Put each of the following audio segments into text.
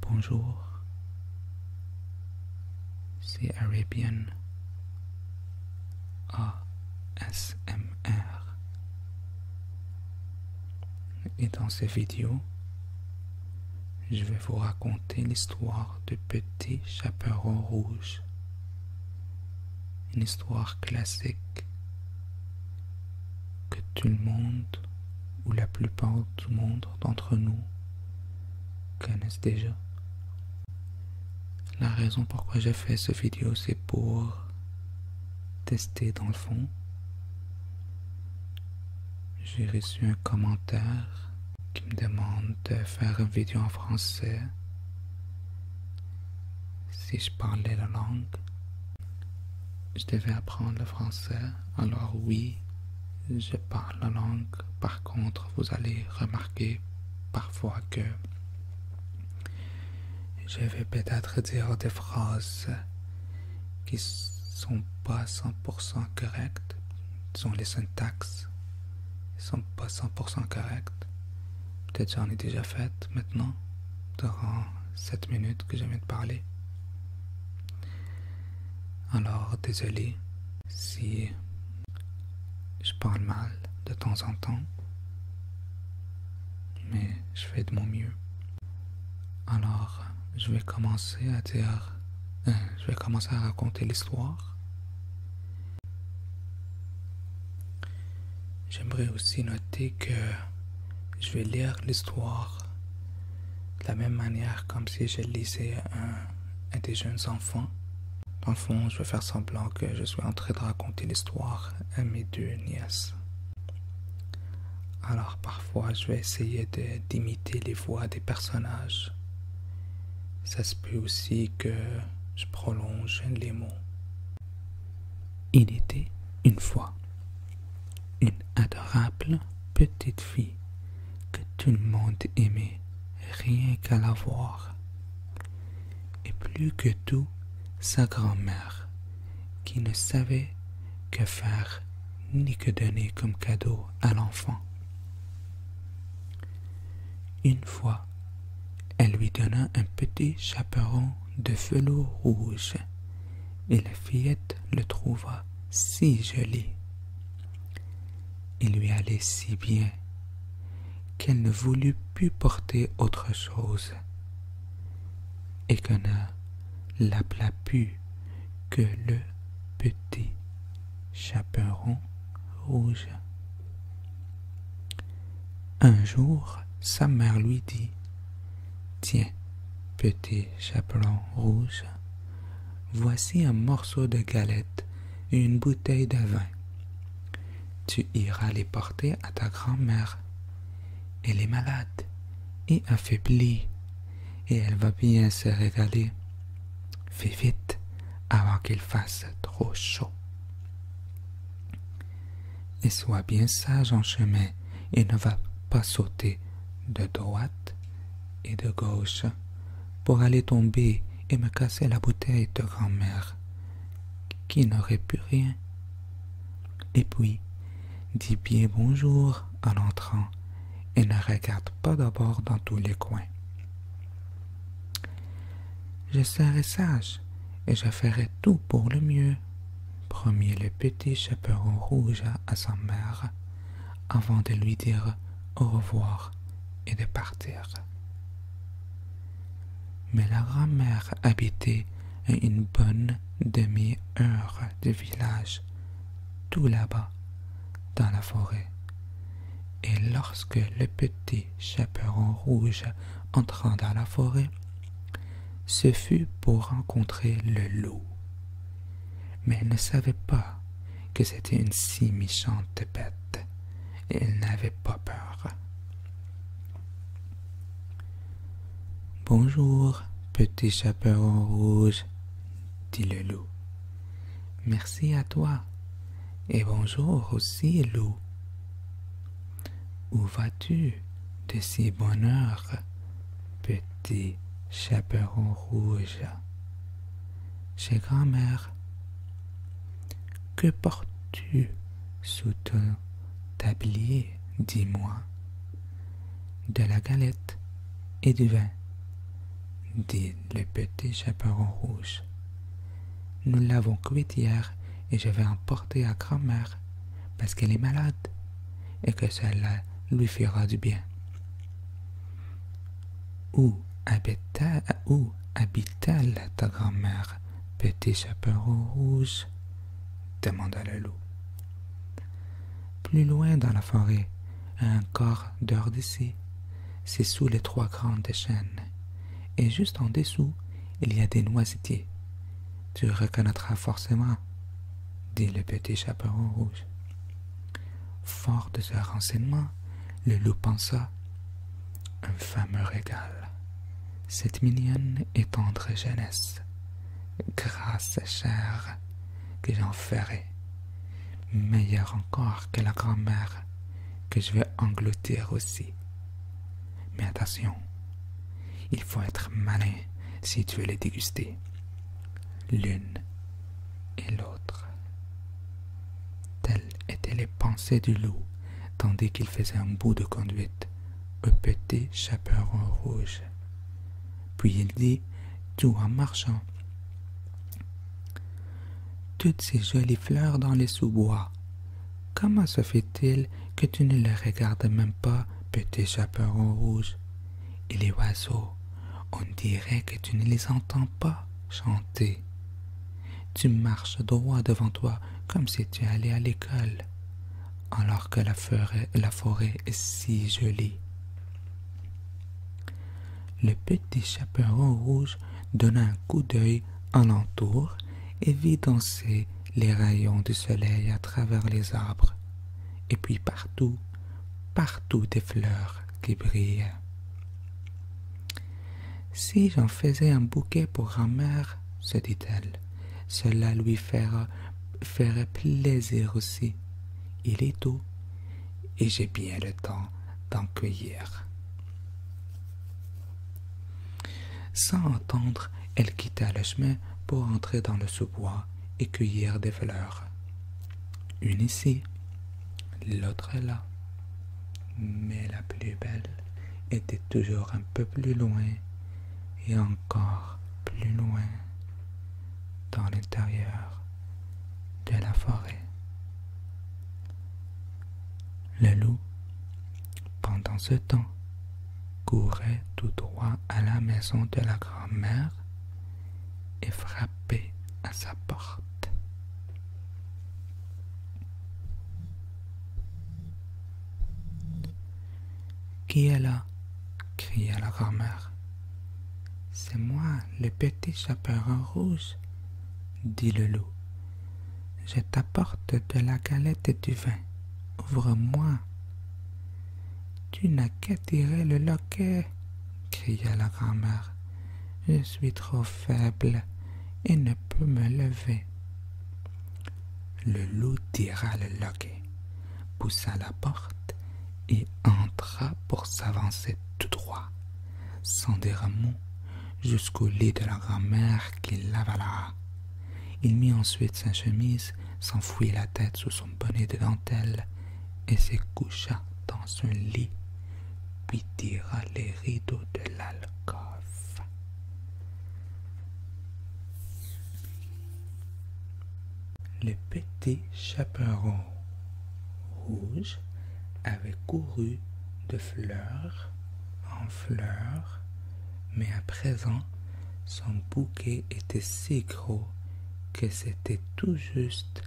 Bonjour, c'est Arabian ASMR. Et dans cette vidéo, je vais vous raconter l'histoire de Petit Chaperon Rouge. Une histoire classique que tout le monde, ou la plupart du monde d'entre nous, connaissent déjà. La raison pourquoi j'ai fait ce vidéo, c'est pour tester dans le fond. J'ai reçu un commentaire qui me demande de faire une vidéo en français si je parlais la langue. Je devais apprendre le français, alors oui, je parle la langue. Par contre, vous allez remarquer parfois que je vais peut-être dire des phrases qui sont pas 100% correctes, sont les syntaxes sont pas 100% correctes. Peut-être j'en ai déjà fait maintenant, durant cette minutes que je viens de parler. Alors, désolé si je parle mal de temps en temps, mais je fais de mon mieux. Alors, je vais commencer à dire, euh, je vais commencer à raconter l'histoire. J'aimerais aussi noter que je vais lire l'histoire de la même manière comme si je lisais un, des jeunes enfants. Dans le fond, je vais faire semblant que je suis en train de raconter l'histoire à mes deux nièces. Alors parfois, je vais essayer d'imiter les voix des personnages. Ça se peut aussi que je prolonge les mots. Il était une fois une adorable petite fille que tout le monde aimait rien qu'à la voir. Et plus que tout, sa grand-mère, qui ne savait que faire ni que donner comme cadeau à l'enfant. Une fois, elle lui donna un petit chaperon de velours rouge, et la fillette le trouva si joli! Il lui allait si bien qu'elle ne voulut plus porter autre chose, et qu'on ne l'appela plus que le petit chaperon rouge. Un jour, sa mère lui dit Tiens, petit chaperon rouge, Voici un morceau de galette et une bouteille de vin. Tu iras les porter à ta grand-mère. Elle est malade et affaiblie, et elle va bien se régaler. Fais vite avant qu'il fasse trop chaud. Et sois bien sage en chemin et ne va pas sauter de droite et de gauche pour aller tomber et me casser la bouteille de grand-mère, qui n'aurait pu rien. Et puis, dis bien bonjour en entrant et ne regarde pas d'abord dans tous les coins. Je serai sage et je ferai tout pour le mieux, promit le petit chaperon rouge à sa mère avant de lui dire au revoir et de partir. Mais la grand-mère habitait une bonne demi-heure de village, tout là-bas, dans la forêt. Et lorsque le petit chaperon rouge entra dans la forêt, ce fut pour rencontrer le loup. Mais il ne savait pas que c'était une si méchante bête, et elle n'avait pas peur. Bonjour, petit chaperon rouge, dit le loup. Merci à toi, et bonjour aussi, loup. Où vas-tu de si bonne petit chaperon rouge. Chez grand-mère, que portes-tu sous ton tablier, dis-moi De la galette et du vin, dit le petit chaperon rouge. Nous l'avons cuit hier et je vais en porter à grand-mère parce qu'elle est malade et que cela lui fera du bien. Où habite-t-elle ta grand-mère, petit chaperon rouge demanda le loup. Plus loin dans la forêt, un quart d'heure d'ici, c'est sous les trois grandes chênes, et juste en dessous, il y a des noisetiers. Tu reconnaîtras forcément, dit le petit chaperon rouge. Fort de ce renseignement, le loup pensa Un fameux régal. Cette mignonne et tendre jeunesse, grâce chère, que j'en ferai, meilleure encore que la grand-mère, que je vais engloutir aussi. Mais attention, il faut être malin si tu veux les déguster l'une et l'autre. Telles étaient les pensées du loup, tandis qu'il faisait un bout de conduite au petit chaperon rouge. Puis il dit, tout en marchant, toutes ces jolies fleurs dans les sous-bois. Comment se fait-il que tu ne les regardes même pas, petit chaperon rouge Et les oiseaux on dirait que tu ne les entends pas chanter. Tu marches droit devant toi comme si tu allais à l'école, alors que la forêt, est si jolie. Le petit chaperon rouge donna un coup d'œil en et vit danser les rayons du soleil à travers les arbres. Et puis partout, partout des fleurs qui brillaient. « Si j'en faisais un bouquet pour grand-mère, se dit-elle, cela lui ferait plaisir aussi. Il est tôt et j'ai bien le temps d'en cueillir. Sans entendre, elle quitta le chemin pour entrer dans le sous-bois et cueillir des fleurs. Une ici, L'autre est là, mais la plus belle était toujours un peu plus loin et encore plus loin dans l'intérieur de la forêt. Le loup, pendant ce temps, courait tout droit à la maison de la grand-mère et frappé à sa porte. Qui est là cria la grand C'est moi, le petit chaperon rouge, dit le loup. Je t'apporte de la galette et du vin. Ouvre-moi. Tu n'as qu'à tirer le loquet, cria la grand'mère. Je suis trop faible et ne peux me lever. Le loup tira le loquet, poussa la porte et entra pour s'avancer tout droit, sans dire jusqu'au lit de la grand-mère qu'il Il mit ensuite sa chemise, s'enfouit la tête sous son bonnet de dentelle et se coucha dans un lit, puis tira les rideaux de l'alcôve. Le petit chaperon rouge avait couru de fleurs en fleurs, mais à présent son bouquet était si gros que c'était tout juste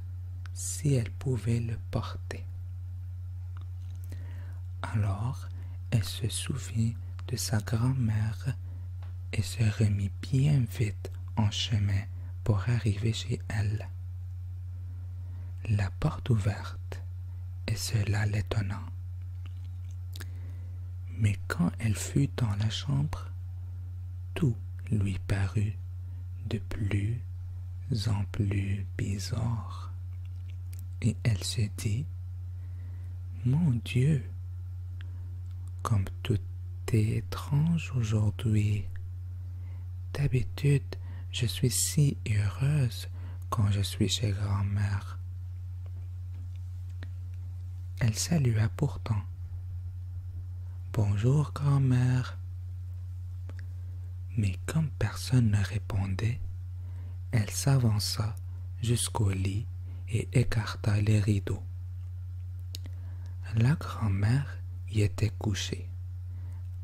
si elle pouvait le porter. Alors, elle se souvint de sa grand-mère et se remit bien vite en chemin pour arriver chez elle. La porte ouverte, et cela l'étonna Mais quand elle fut dans la chambre, tout lui parut de plus en plus bizarre, et elle se dit, Mon Dieu, comme tout est étrange aujourd'hui. D'habitude, je suis si heureuse quand je suis chez grand-mère. Elle salua pourtant. Bonjour, grand-mère. Mais comme personne ne répondait, elle s'avança jusqu'au lit et écarta les rideaux. La grand-mère y était couchée,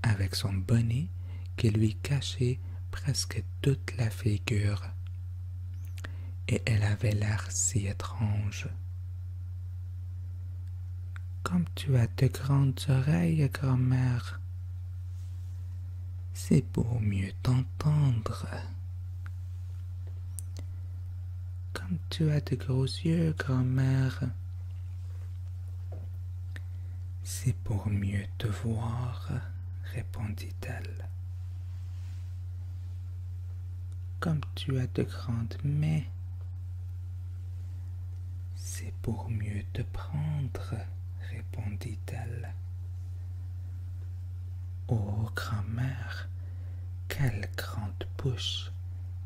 avec son bonnet qui lui cachait presque toute la figure, et elle avait l'air si étrange. Comme tu as de grandes oreilles, grand-mère, c'est pour mieux t'entendre. Comme tu as de gros yeux, grand-mère, c'est pour mieux te voir, répondit-elle. Comme tu as de grandes mains, c'est pour mieux te prendre, répondit-elle. Oh, grand-mère, quelle grande bouche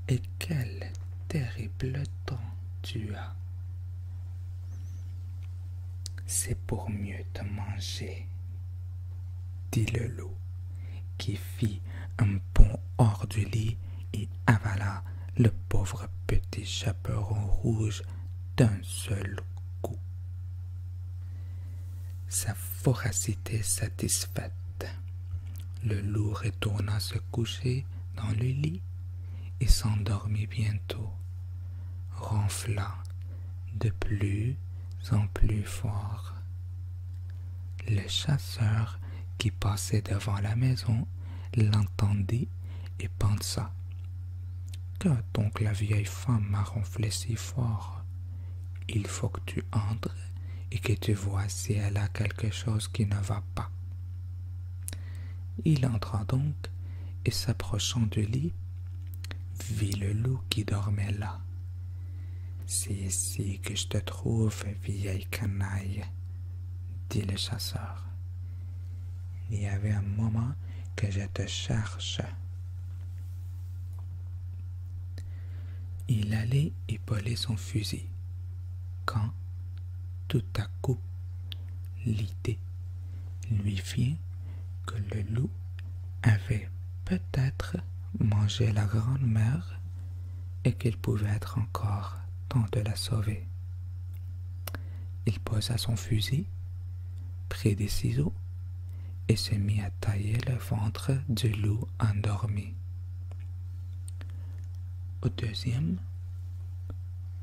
et quel terrible temps tu as. C'est pour mieux te manger, dit le loup, qui fit un pont hors du lit et avala le pauvre petit chaperon rouge d'un seul coup. Sa voracité satisfaite, le loup retourna se coucher dans le lit et s'endormit bientôt, ronfla de plus en plus fort. Le chasseur qui passait devant la maison l'entendit et pensa Que donc la vieille femme m'a ronflé si fort Il faut que tu entres et que tu vois si elle a quelque chose qui ne va pas. Il entra donc et s'approchant du lit, vit le loup qui dormait là. C'est ici que je te trouve, vieille canaille, dit le chasseur. Il y avait un moment que je te cherche. Il allait épauler son fusil quand, tout à coup, l'idée lui fit que le loup avait peut-être mangé la grande mère et qu'il pouvait être encore temps de la sauver. Il posa son fusil, prit des ciseaux et se mit à tailler le ventre du loup endormi. Au deuxième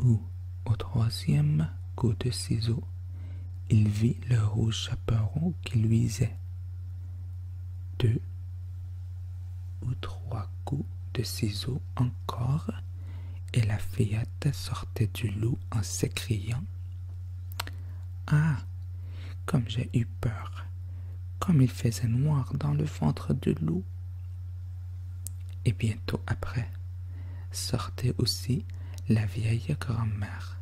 ou au troisième coup de ciseaux, il vit le rouge chaperon qui luisait ou trois coups de ciseaux encore, et la fillette sortait du loup en s'écriant Ah Comme j'ai eu peur Comme il faisait noir dans le ventre du loup Et bientôt après, sortait aussi la vieille grand-mère.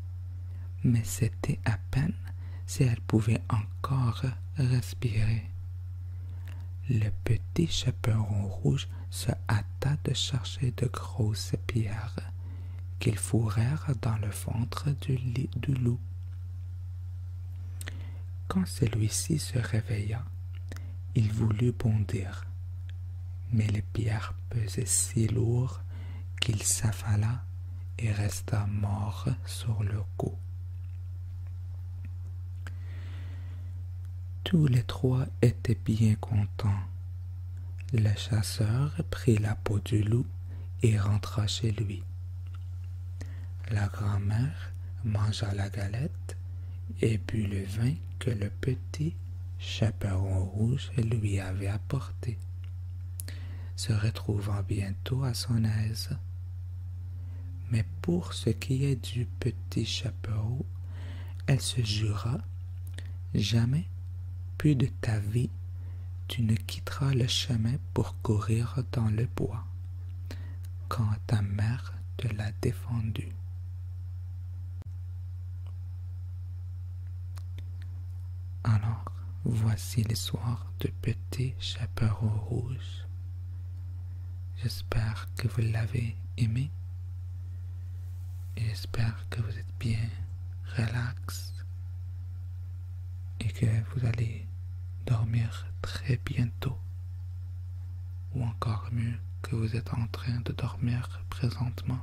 Mais c'était à peine si elle pouvait encore respirer. Le petit chaperon rouge se hâta de chercher de grosses pierres qu'ils fourrèrent dans le ventre du, lit du loup. Quand celui-ci se réveilla, il voulut bondir, mais les pierres pesaient si lourd qu'il s'affala et resta mort sur le cou. Tous les trois étaient bien contents. Le chasseur prit la peau du loup et rentra chez lui. La grand-mère mangea la galette et but le vin que le petit chaperon rouge lui avait apporté, se retrouvant bientôt à son aise. Mais pour ce qui est du petit chapeau, elle se jura Jamais, plus de ta vie, tu ne quitteras le chemin pour courir dans le bois, quand ta mère te l'a défendu. Alors, voici l'histoire du Petit chapeau Rouge. J'espère que vous l'avez aimé. J'espère que vous êtes bien relax et que vous allez dormir très bientôt ou encore mieux que vous êtes en train de dormir présentement.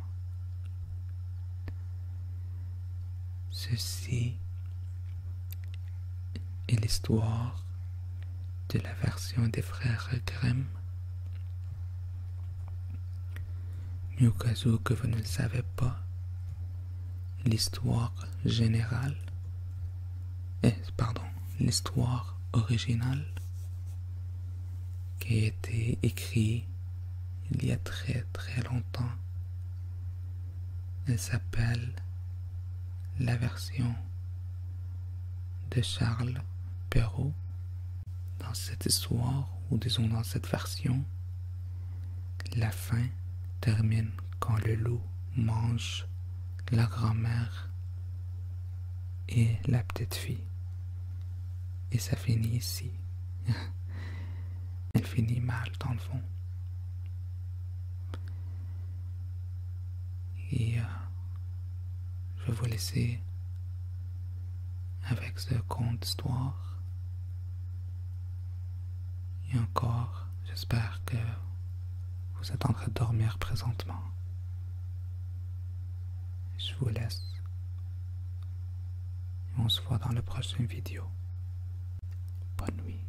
Ceci est l'histoire de la version des frères Grimm. Mais cas où que vous ne le savez pas, l'histoire générale, pardon, l'histoire originale qui a été écrite il y a très très longtemps, elle s'appelle la version de Charles Perrault dans cette histoire, ou disons dans cette version, la fin termine quand le loup mange la grand-mère et la petite fille. Et ça finit ici. Elle finit mal dans le fond. Et euh, je vais vous laisser avec ce conte d'histoire. Et encore, j'espère que vous êtes en train de dormir présentement. Je vous laisse. Et on se voit dans la prochaine vidéo. Bonne nuit.